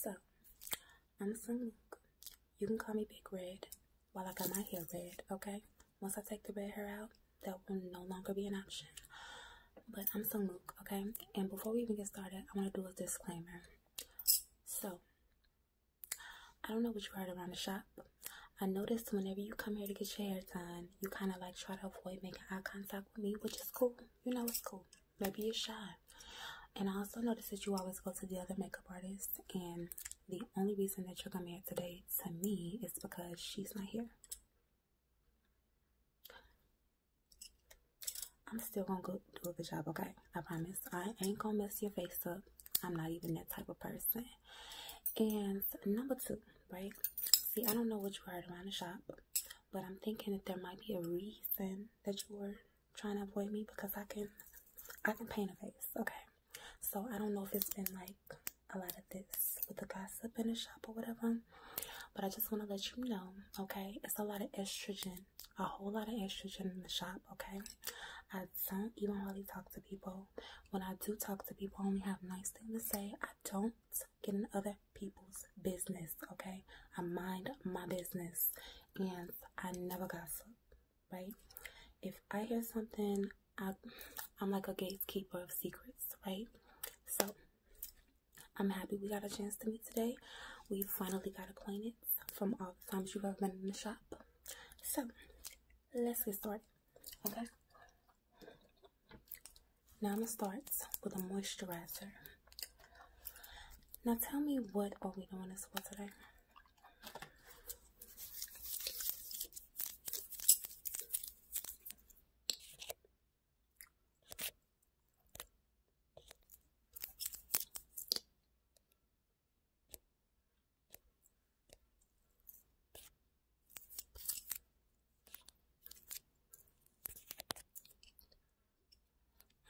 So, I'm Sonique. You can call me Big Red while I got my hair red, okay? Once I take the red hair out, that will no longer be an option. But I'm Sungmook, okay? And before we even get started, I want to do a disclaimer. So, I don't know what you heard around the shop. I noticed whenever you come here to get your hair done, you kind of like try to avoid making eye contact with me, which is cool. You know it's cool. Maybe a are And I also noticed that you always go to the other makeup artist, and the only reason that you're gonna be today to me is because she's not here. I'm still gonna go do a good job, okay? I promise. I ain't gonna mess your face up. I'm not even that type of person. And number two, right? See, I don't know what you heard around the shop, but I'm thinking that there might be a reason that you were trying to avoid me because I can I can paint a face. Okay. So I don't know if it's been like a lot of this with the gossip in the shop or whatever. But I just want to let you know, okay? It's a lot of estrogen. A whole lot of estrogen in the shop, okay? I don't even really talk to people. When I do talk to people, only have nice things to say. I don't getting other people's business, okay? I mind my business and I never gossip, right? If I hear something, I, am like a gatekeeper of secrets, right? So I'm happy we got a chance to meet today. We finally got acquainted from all the times you've ever been in the shop. So let's get started, okay? Now I'm gonna start with a moisturizer. Now tell me what are we doing this for today?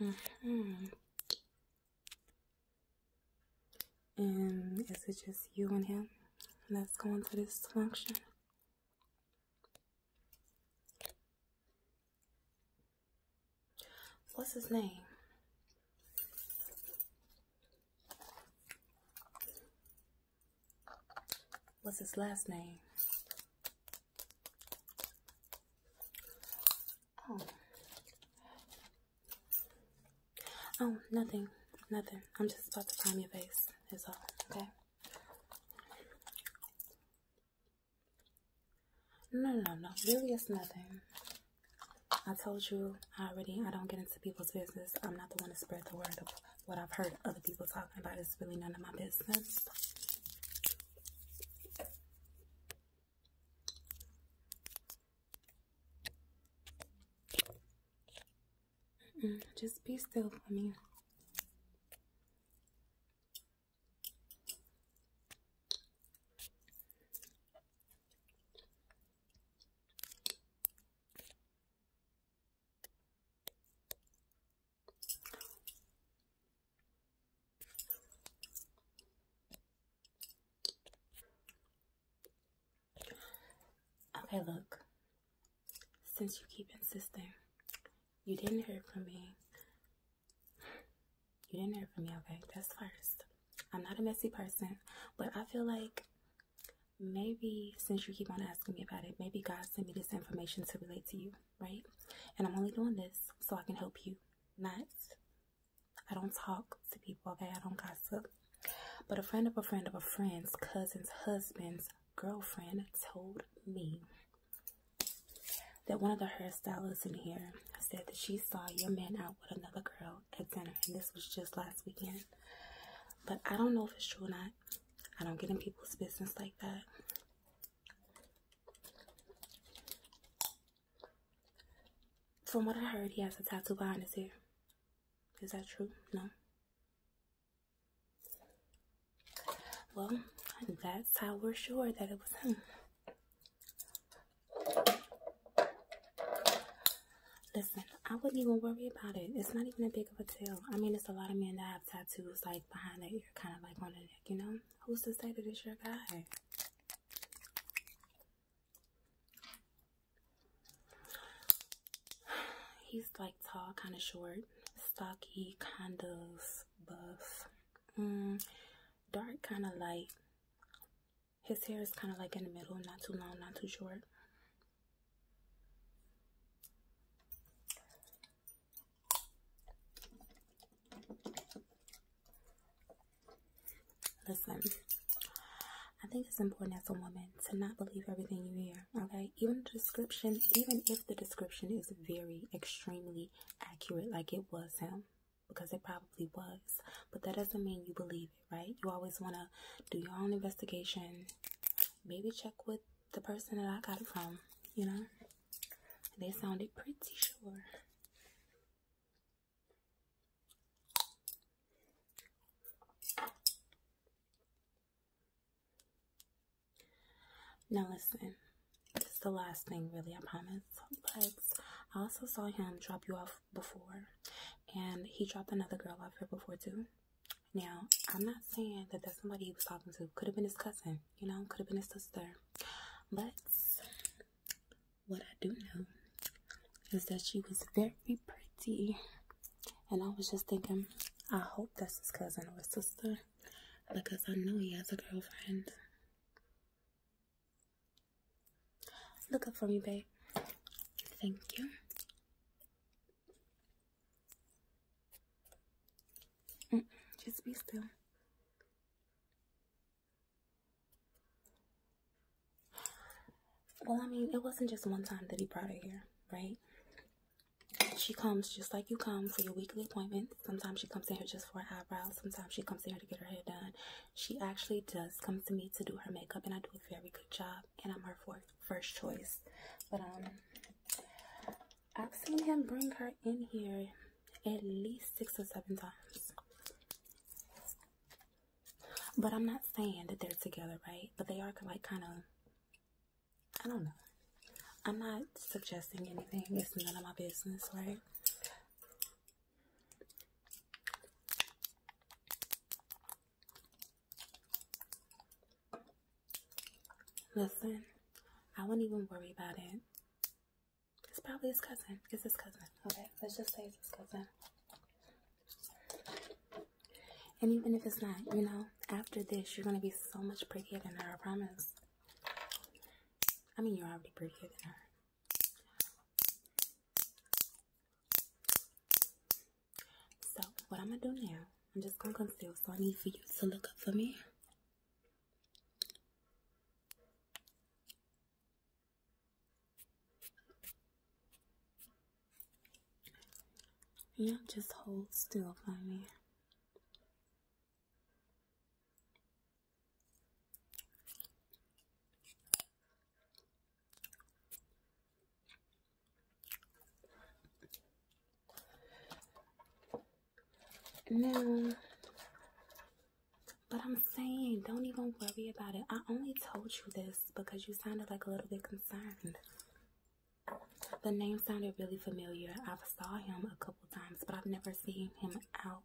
Mm -hmm. And is it just you and him? Let's go into this function. What's his name? What's his last name? Oh. Oh, nothing. Nothing. I'm just about to prime your face. Is all. Okay. No, no, no. Really, it's nothing. I told you already, I don't get into people's business. I'm not the one to spread the word of what I've heard other people talking about it's really none of my business. just be still for me. Okay, look. Since you keep insisting, you didn't hear from me. You didn't hear from me, okay? That's first. I'm not a messy person, but I feel like maybe since you keep on asking me about it, maybe God sent me this information to relate to you right? And I'm only doing this so I can help you. Not, I don't talk to people, okay? I don't gossip. But a friend of a friend of a friend's cousin's husband's girlfriend told me that one of the hairstylists in here said that she saw your man out with another girl at dinner, and this was just last weekend. But I don't know if it's true or not. I don't get in people's business like that. From what I heard, he has a tattoo behind his ear. Is that true? No. Well, that's how we're sure that it was him. Listen, I wouldn't even worry about it. It's not even a big of a deal. I mean, it's a lot of men that have tattoos. Like, like behind that ear, kind of like on the neck, you know? Who's to say that it's your guy? He's like tall, kind of short, stocky, kind of buff, mm, dark, kind of light. His hair is kind of like in the middle, not too long, not too short. Listen, I think it's important as a woman to not believe everything you hear, okay? Even the description, even if the description is very extremely accurate, like it was him, because it probably was, but that doesn't mean you believe it, right? You always want to do your own investigation, maybe check with the person that I got it from, you know? They sounded pretty sure. Now listen, it's the last thing really, I promise. But I also saw him drop you off before and he dropped another girl off here before too. Now, I'm not saying that that's somebody he was talking to. Could have been his cousin, you know, could have been his sister. But what I do know is that she was very pretty. And I was just thinking, I hope that's his cousin or sister because I know he has a girlfriend. Look up for me, babe. Thank you. Mm, just be still. Well, I mean, it wasn't just one time that he brought her here, right? She comes just like you come for your weekly appointments. Sometimes she comes in here just for her eyebrows. Sometimes she comes in here to get her hair done. She actually does come to me to do her makeup, and I do a very good job, and I'm her first choice. But, um, I've seen him bring her in here at least six or seven times. But I'm not saying that they're together, right? But they are like kind of, I don't know. I'm not suggesting anything. It's none of my business, right? Listen, I will not even worry about it. It's probably his cousin. It's his cousin. Okay, let's just say it's his cousin. And even if it's not, you know, after this, you're going to be so much prettier than her, I promise. I mean, you're already prettier than her. So what I'm gonna do now, I'm just gonna conceal. So I need for you to look up for me. Yeah, just hold still for me. Now, but I'm saying, don't even worry about it. I only told you this because you sounded like a little bit concerned. The name sounded really familiar. I've saw him a couple times, but I've never seen him out.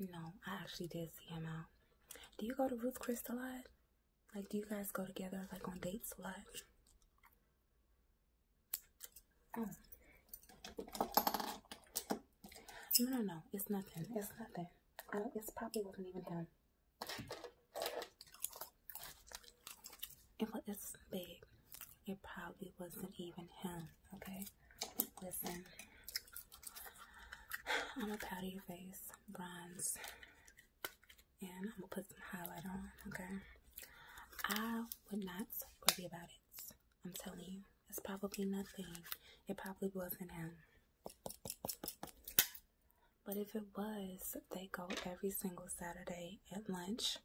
No, I actually did see him out. Do you go to Ruth Chris a lot? Like, do you guys go together, like, on dates a lot? Oh. No, no, no. It's nothing. It's nothing. Uh, it's probably wasn't even him. It was, it's big. It probably wasn't even him, okay? Listen. I'm a powder your face, bronze, and I'm gonna put some highlight on, okay? I would not worry about it. I'm telling you, it's probably nothing. It probably wasn't him. But if it was, they go every single Saturday at lunch.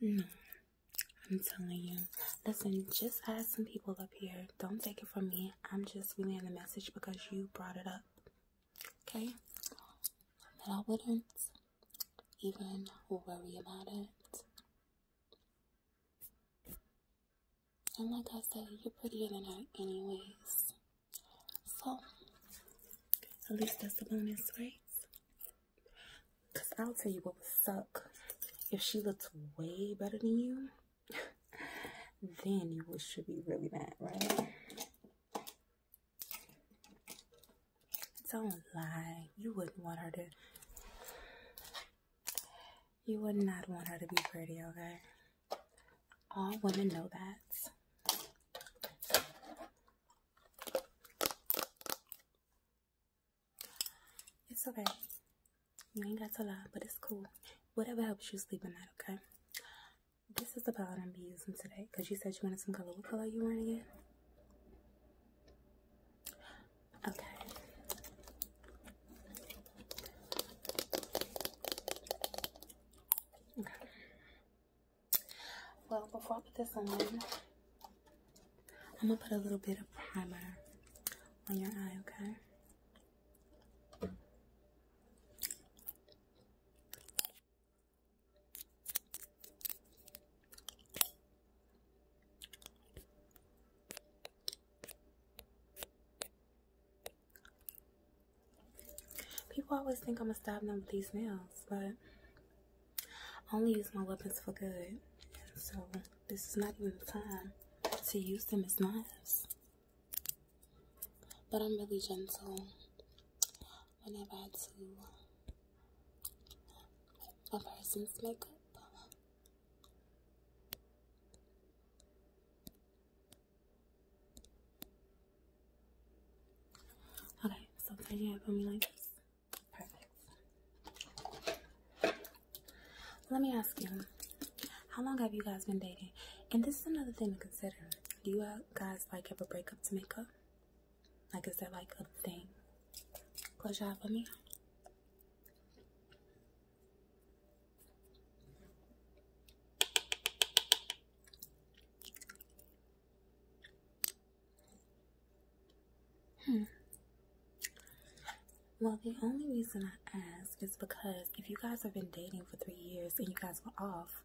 No, hmm. I'm telling you. Listen, just ask some people up here. Don't take it from me. I'm just relaying the message because you brought it up. Okay? But I wouldn't even worry about it. And like I said, you're prettier than her, anyways. So, at least that's the bonus, right? Because I'll tell you what would suck. If she looks way better than you, then you would should be really mad, right? Don't lie. You wouldn't want her to. You would not want her to be pretty, okay? All women know that. It's okay. You ain't got to lie, but it's cool. Whatever helps you sleep at night, okay? This is the palette I'm be using today because you said you wanted some color. What color you want again? Okay. Okay. Well, before I put this on, I'm gonna put a little bit of primer on your eye, okay? People always think I'm gonna stab them with these nails, but I only use my weapons for good. So this is not even the time to use them as knives. But I'm really gentle whenever I do a person's makeup. Okay, so tie your for me like this. Perfect. Let me ask you, how long have you guys been dating? And this is another thing to consider. Do you guys like ever break up to make up? Like, is that like a thing? Close your for me. Hmm. Well, the only reason I ask is because if you guys have been dating for three years and you guys were off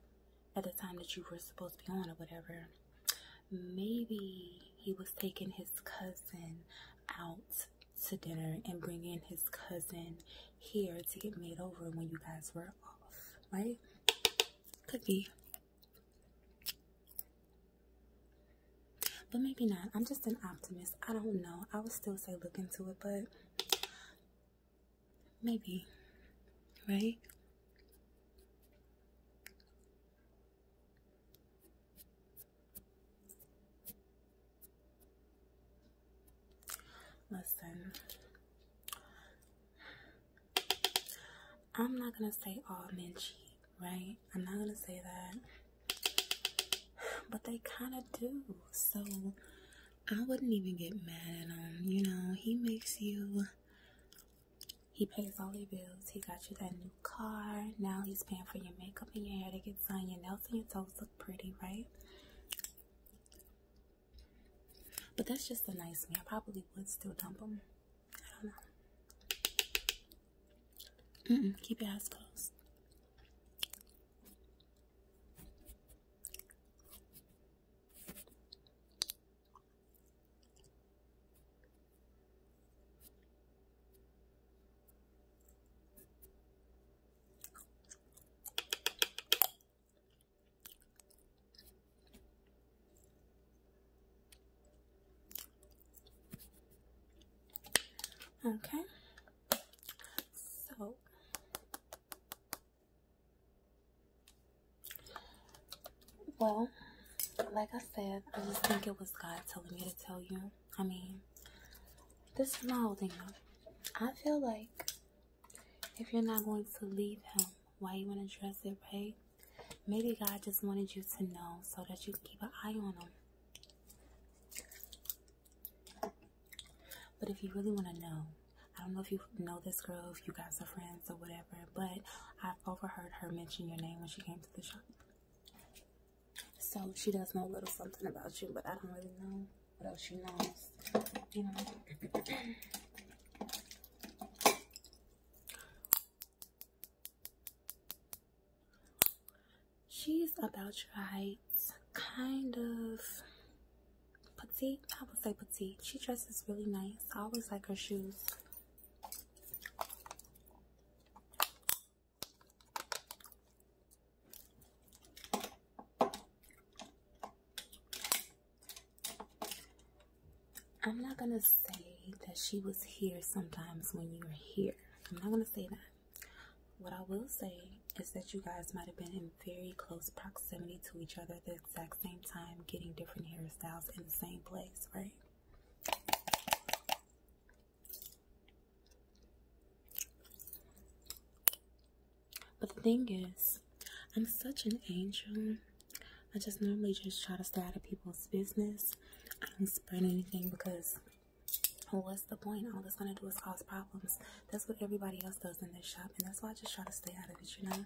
at the time that you were supposed to be on or whatever, maybe he was taking his cousin out to dinner and bringing his cousin here to get made over when you guys were off, right? Could be. But maybe not. I'm just an optimist. I don't know. I would still say look into it, but maybe. Right? Listen, I'm not gonna say all men cheat, right? I'm not gonna say that, but they kind of do. So I wouldn't even get mad at him. You know, he makes you. He pays all your bills. He got you that new car. Now he's paying for your makeup and your hair to get done. Your nails and your toes look pretty, right? But that's just the nice me. I probably would still dump them. I don't know. keep your eyes closed. Okay, so well, like I said, I just think it was God telling me to tell you. I mean, this is my whole thing. I feel like if you're not going to leave him, why you want to dress it right? Maybe God just wanted you to know so that you can keep an eye on him. But if you really want to know, I don't know if you know this girl, if you guys are friends or whatever, but I overheard her mention your name when she came to the shop. So she does know a little something about you, but I don't really know what else she knows, you know. She's about right, kind of petite. I would say petite. She dresses really nice. I always like her shoes. I'm not gonna say that she was here sometimes when you were here. I'm not gonna say that. What I will say is that you guys might have been in very close proximity to each other at the exact same time, getting different hairstyles in the same place, right? But the thing is, I'm such an angel. I just normally just try to stay out of people's business. I don't spread anything because what's the point? All that's gonna do is cause problems. That's what everybody else does in their shop, and that's why I just try to stay out of it, you know.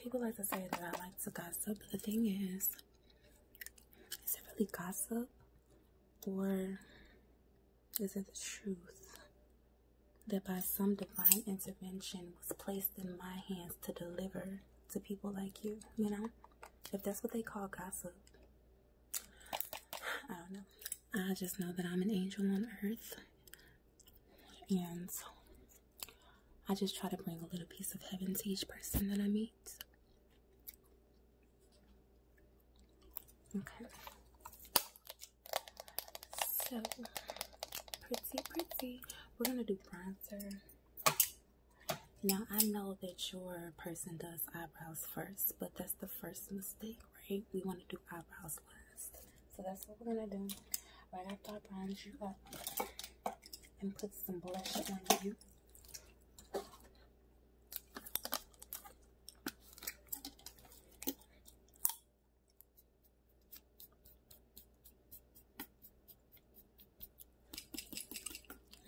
People like to say that I like to gossip. but The thing is, is it really gossip or is it the truth that by some divine intervention was placed in my hands to deliver to people like you? You know, if that's what they call gossip, I don't know. I just know that I'm an angel on earth and I just try to bring a little piece of heaven to each person that I meet. Okay. So pretty, pretty. We're gonna do bronzer. Now I know that your person does eyebrows first, but that's the first mistake, right? We want to do eyebrows last. So that's what we're gonna do. Right after I bronze you up and put some blush on you.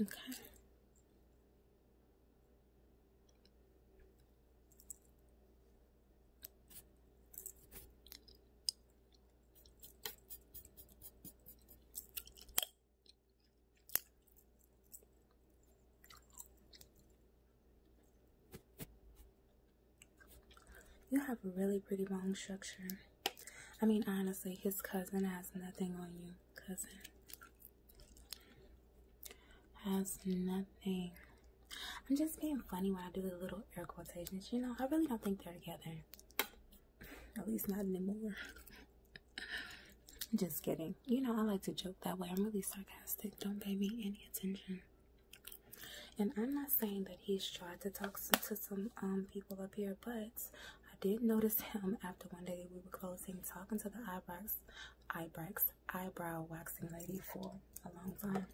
Okay. You have a really pretty bone structure. I mean, honestly, his cousin has nothing on you. Cousin has nothing. I'm just being funny when I do the little air quotations. You know, I really don't think they're together. At least not anymore. just kidding. You know, I like to joke that way. I'm really sarcastic. Don't pay me any attention. And I'm not saying that he's tried to talk to, some um, people up here, but I did notice him after one day we were closing, talking to the eyebrows, eyebrows, eyebrow waxing lady for a long time.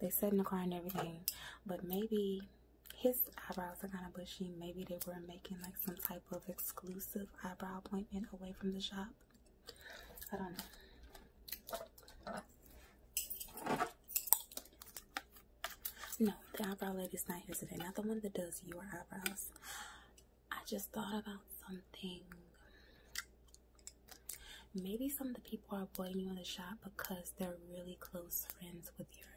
They said in the car and everything, but maybe his eyebrows are kind of bushy. Maybe they were making like some type of exclusive eyebrow appointment away from the shop. I don't know. No, the eyebrow lady's not here today. Not the one that does your eyebrows. I just thought about something Maybe some of the people are avoiding you in the shop because they're really close friends with your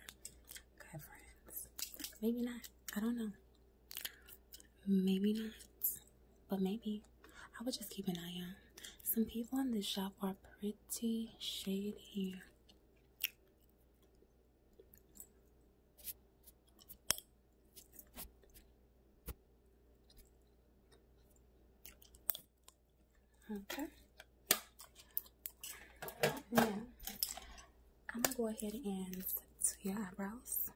guy friends. Maybe not. I don't know. Maybe not. But maybe. I would just keep an eye on. Some people in this shop are pretty shady. Okay. Now, I'm gonna go ahead and to your eyebrows,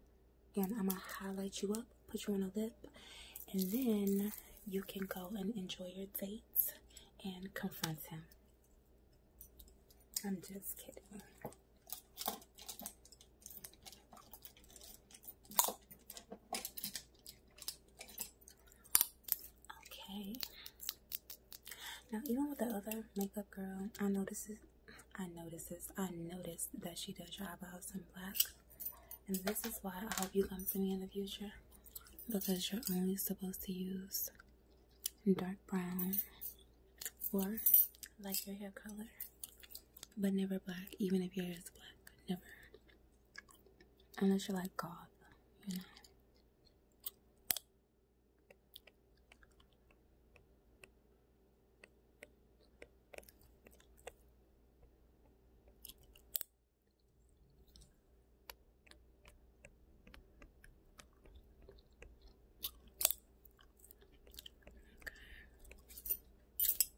and I'm gonna highlight you up, put you on a lip, and then you can go and enjoy your date and confront him. I'm just kidding. Okay. Now, even with the other makeup girl, I notices, I notices, I noticed that she does your eyebrows in black, and this is why I hope you come to me in the future, because you're only supposed to use dark brown or like your hair color, but never black. Even if your hair is black, never Unless you're like God, you know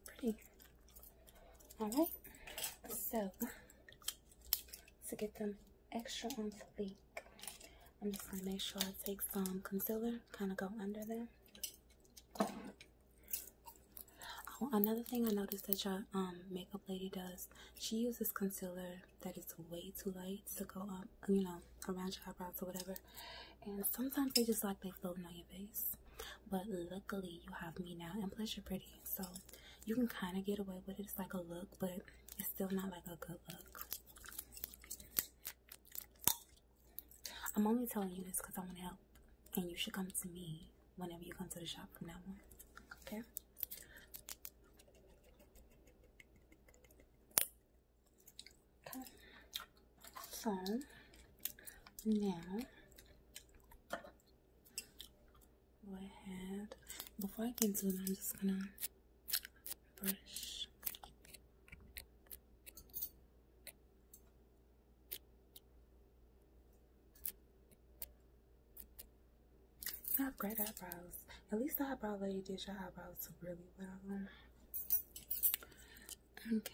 pretty. Alright, so to get them extra on fleek, I'm just going to make sure I take some concealer, kind of go under there. Oh, another thing I noticed that your um, makeup lady does, she uses concealer that is way too light to go up, you know, around your eyebrows or whatever. And sometimes they just like they floating on your face. But luckily, you have me now and Pleasure Pretty. So you can kind of get away with it. It's like a look, but it's still not like a good look. I'm only telling you this because I want to help. And you should come to me whenever you come to the shop from now on. Okay? Okay. So, now go ahead before I get to it I'm just gonna brush I have great eyebrows. At least the eyebrow lady did your eyebrows really well. Okay.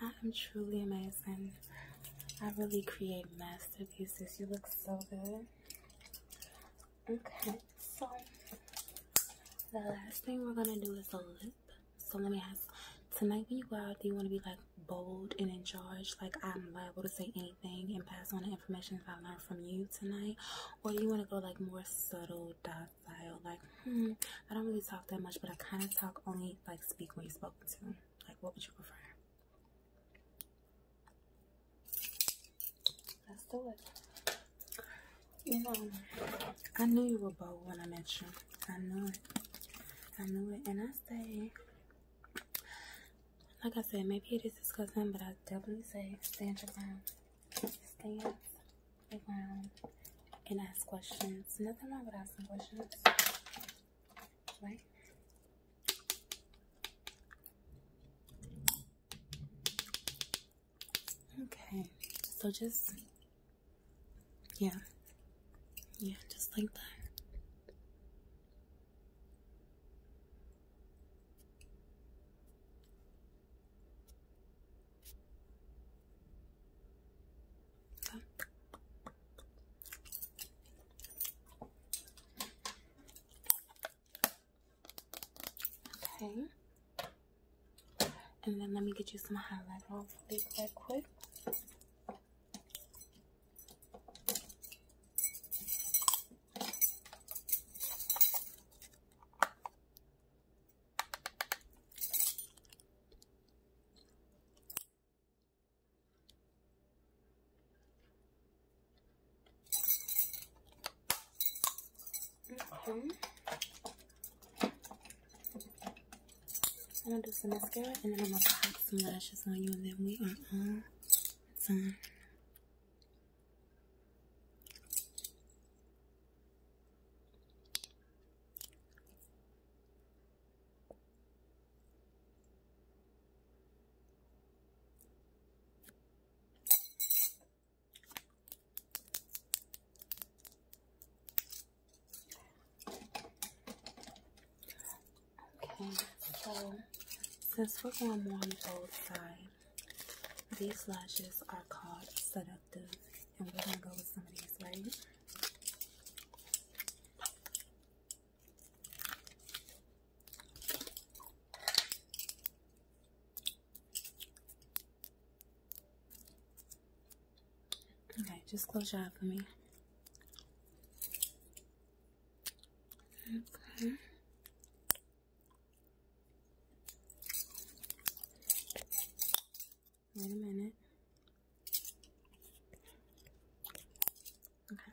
I am truly amazing. I really create masterpieces. You look so good. Okay, so the last thing we're gonna do is a lip. So let me ask tonight when you go out, do you want to be like bold and in charge? Like I'm liable to say anything and pass on the information that I learned from you tonight, or you want to go like more subtle, docile? Like, hmm, I don't really talk that much, but I kind of talk only like speak when you are spoken to. Like, what would you prefer? Let's do it. You know, I knew you were both when I met you. I knew it. I knew it. And I say, like I said, maybe it is disgusting, but I definitely say stand your Stand your and ask questions. Nothing wrong with asking questions right? Okay, so just, yeah, yeah, just like that. Okay. And then let me get you some highlight off really quick. Okay. I'm gonna do some mascara and then I'm gonna put some lashes on you and then we are on. It's on. Okay, so since we're going more on both sides, these lashes are called seductive, and we're gonna go with some of these, right? Okay, just close your eyes for me. Okay. Wait a minute. Okay.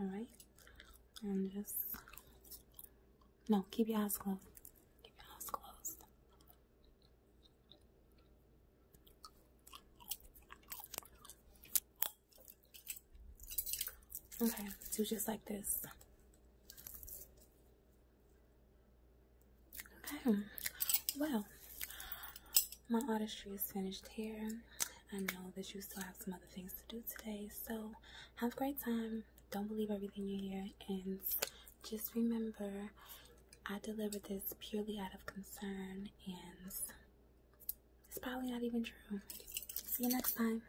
All right. And just no, keep your eyes closed. Keep your eyes closed. Okay, do just like this. Okay, hmm. well, my artistry is finished here. I know that you still have some other things to do today, so have a great time. Don't believe everything you hear, and just remember I delivered this purely out of concern, and it's probably not even true. See you next time.